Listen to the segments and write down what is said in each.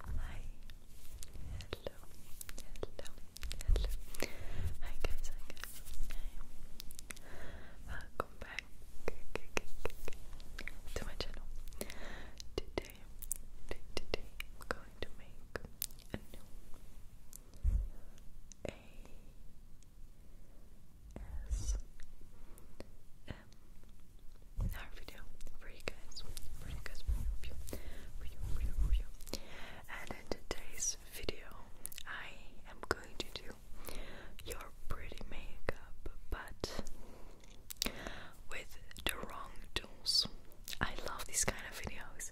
Hi. Hello. Hello. Hello. Hi guys. Welcome back to my channel. Today, today I'm going to make a new A S M R another video for you guys, for you guys, for you, for you, for you, And in today's video, I am going to do your pretty makeup, but with the wrong tools. I love these kind of videos.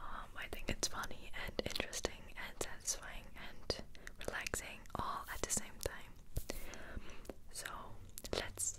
Um, I think it's funny and interesting and satisfying and relaxing all at the same time. So let's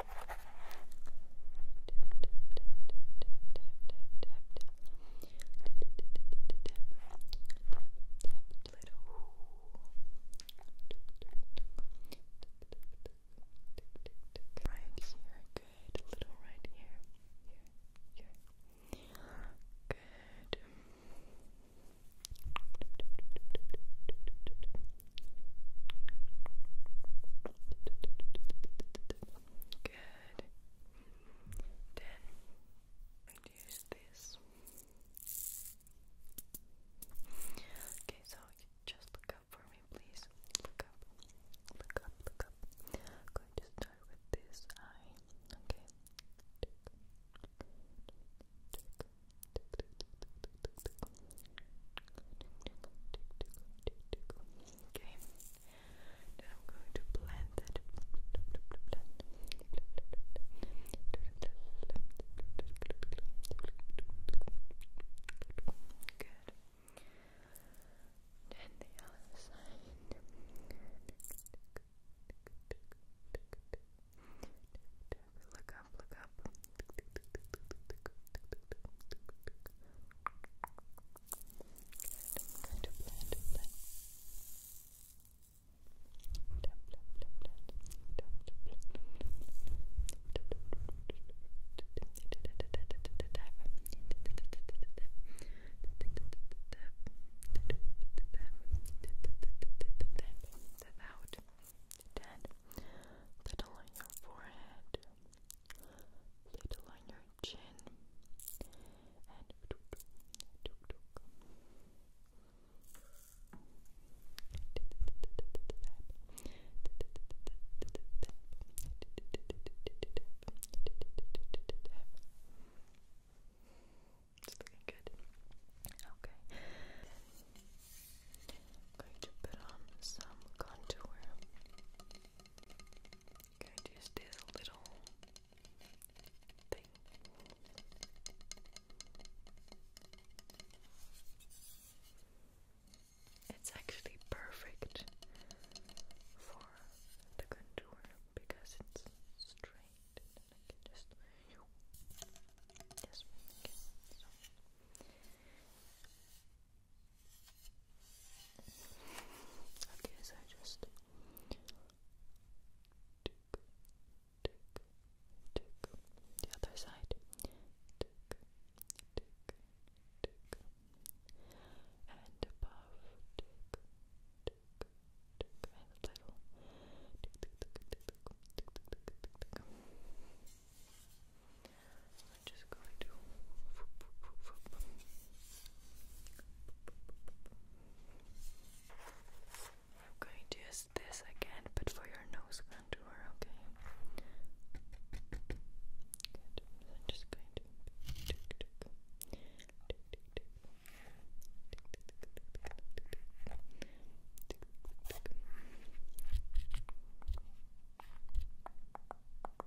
Right here, good. A little right here. Here, here. Good. Good. Then reduce this. Okay, so just look up for me, please. Look up, look up, look up. going to start with this eye. Okay. Okay. Then I'm going to blend that. Good. Then the other side. Look up, look up. Without dead, little on your forehead, little on your chin it's looking good. Okay going to put on some contour. going to just do little thing. It's actually perfect for the contour because it's straight I can just yes, okay. so Okay, so just tick, tick, tick. The other side. Tick, tick, tick. And above. Tick, tick, tick. And a little. tick, tick, tick, tick, tick, tick, tick, tick. I'm just going to I'm going to use this again, but for your nose contour, okay? I'm just going to Good.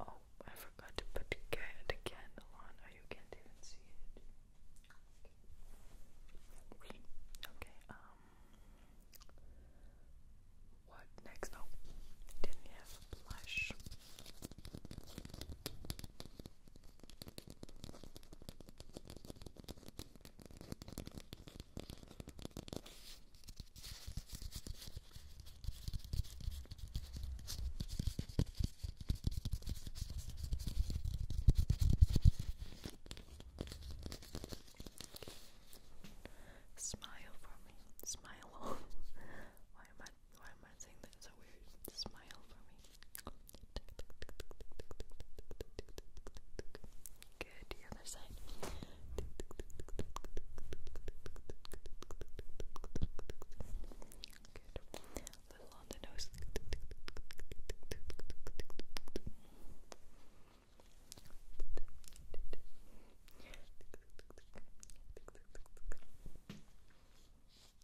oh, I forgot to put the, candle on. Oh, you can't even see it. Okay. Um. What next? Oh, didn't have blush. Smile for me. Smile. Why am I what? Why am I saying that? weird smile for me. Good, the other side. Good. little on the nose.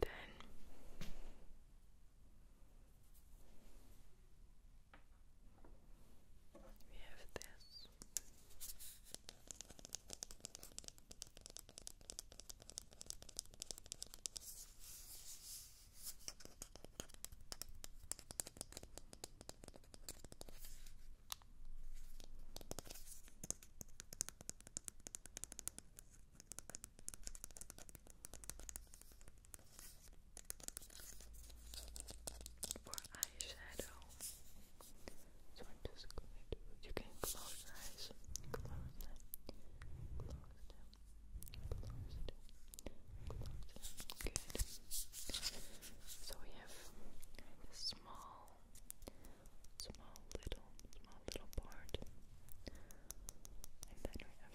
Then we have this. For eyeshadow, so I'm just going to. You can close your eyes, close them, close them, close them, Good. So we have kind small small little, small little part. And then we have the big part.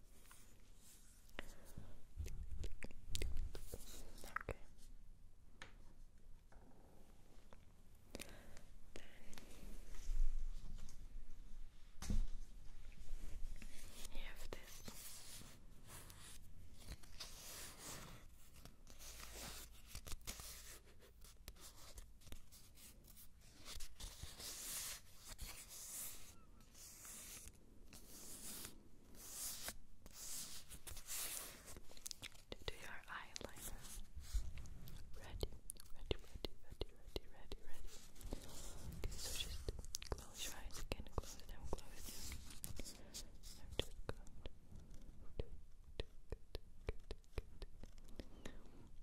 Okay. you have this. To do your eyeliner. Ready, ready, ready, ready, ready, ready, ready. so just close your eyes again, close them, close them.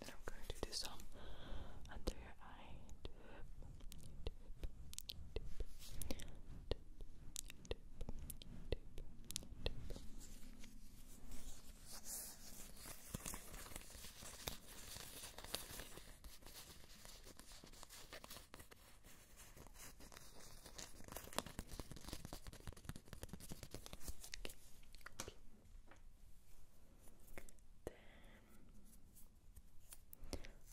and I'm going to do some under your eye. Good. Okay. Then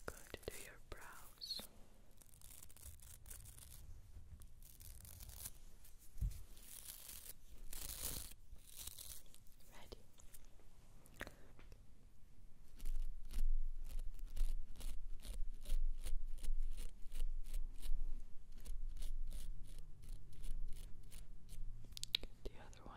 going to do your brows. Ready. Get the other one.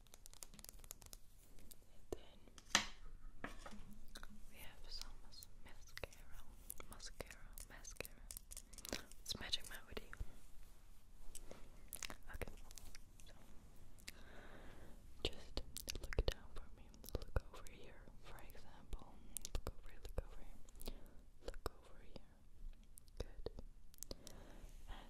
we have some mascara, mascara, mascara. It's Magic Melody. Okay, so just look down for me. Look over here, for example. Look over look over here. Look over here. Good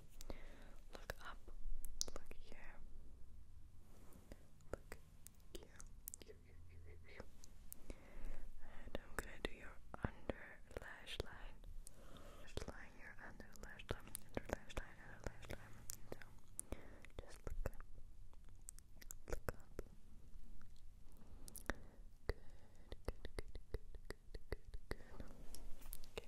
good. Look up. Look here. Look here. here, here, here, here. And I'm gonna do your under lash line. your under lash line, under lash line, under lash line. So just look up. Look up. Good, good, good, good, good, good, good. Okay. Great.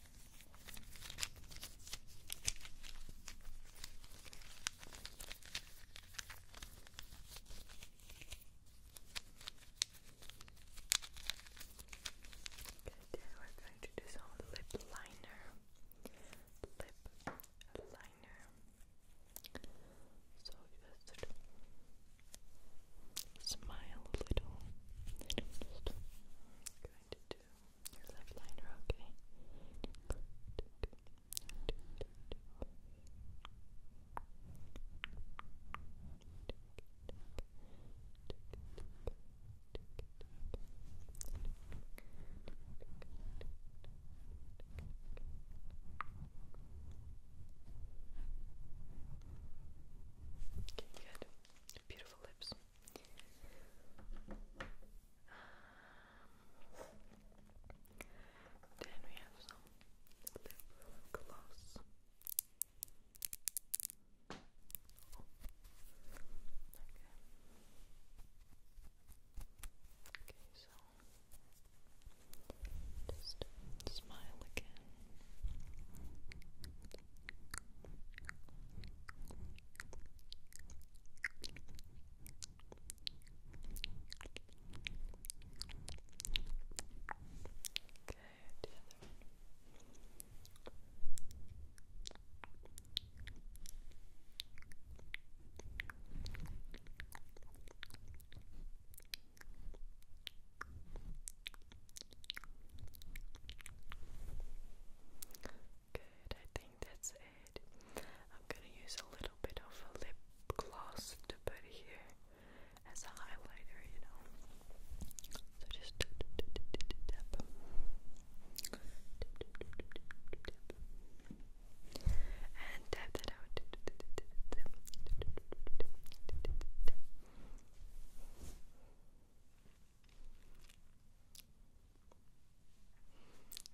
Good, we're going to do some lip liner. Lip liner. So just smile a little. just going to do your left liner, okay? Okay, good. Beautiful lips. Then we have some lip gloss. Okay. Okay, so just smile again the other one. Good, I think that's it. I'm gonna use a little bit of a lip gloss to put here as a highlighter, you know. So just tap. And tap that out.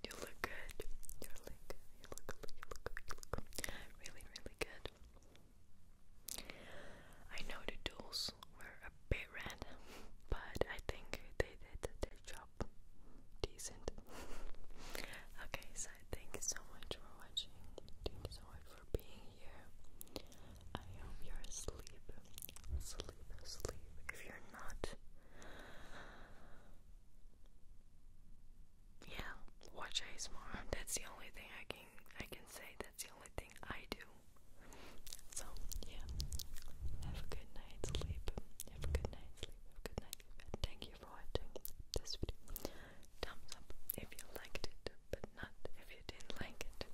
You look good. You look You look You look You look Really, really good. I know the tools were a bit random, but I think they did their job decent. okay, so thank so much for watching. Thank so much for being here. I hope you're asleep. Sleep, sleep. If you're not, yeah, watch ASMR. That's the only thing I can I can say. That's the only thing I do. So yeah, have a good night's sleep. Have a good night's sleep. Have a good night's thank you for watching this video. Thumbs up if you liked it, but not if you didn't like it.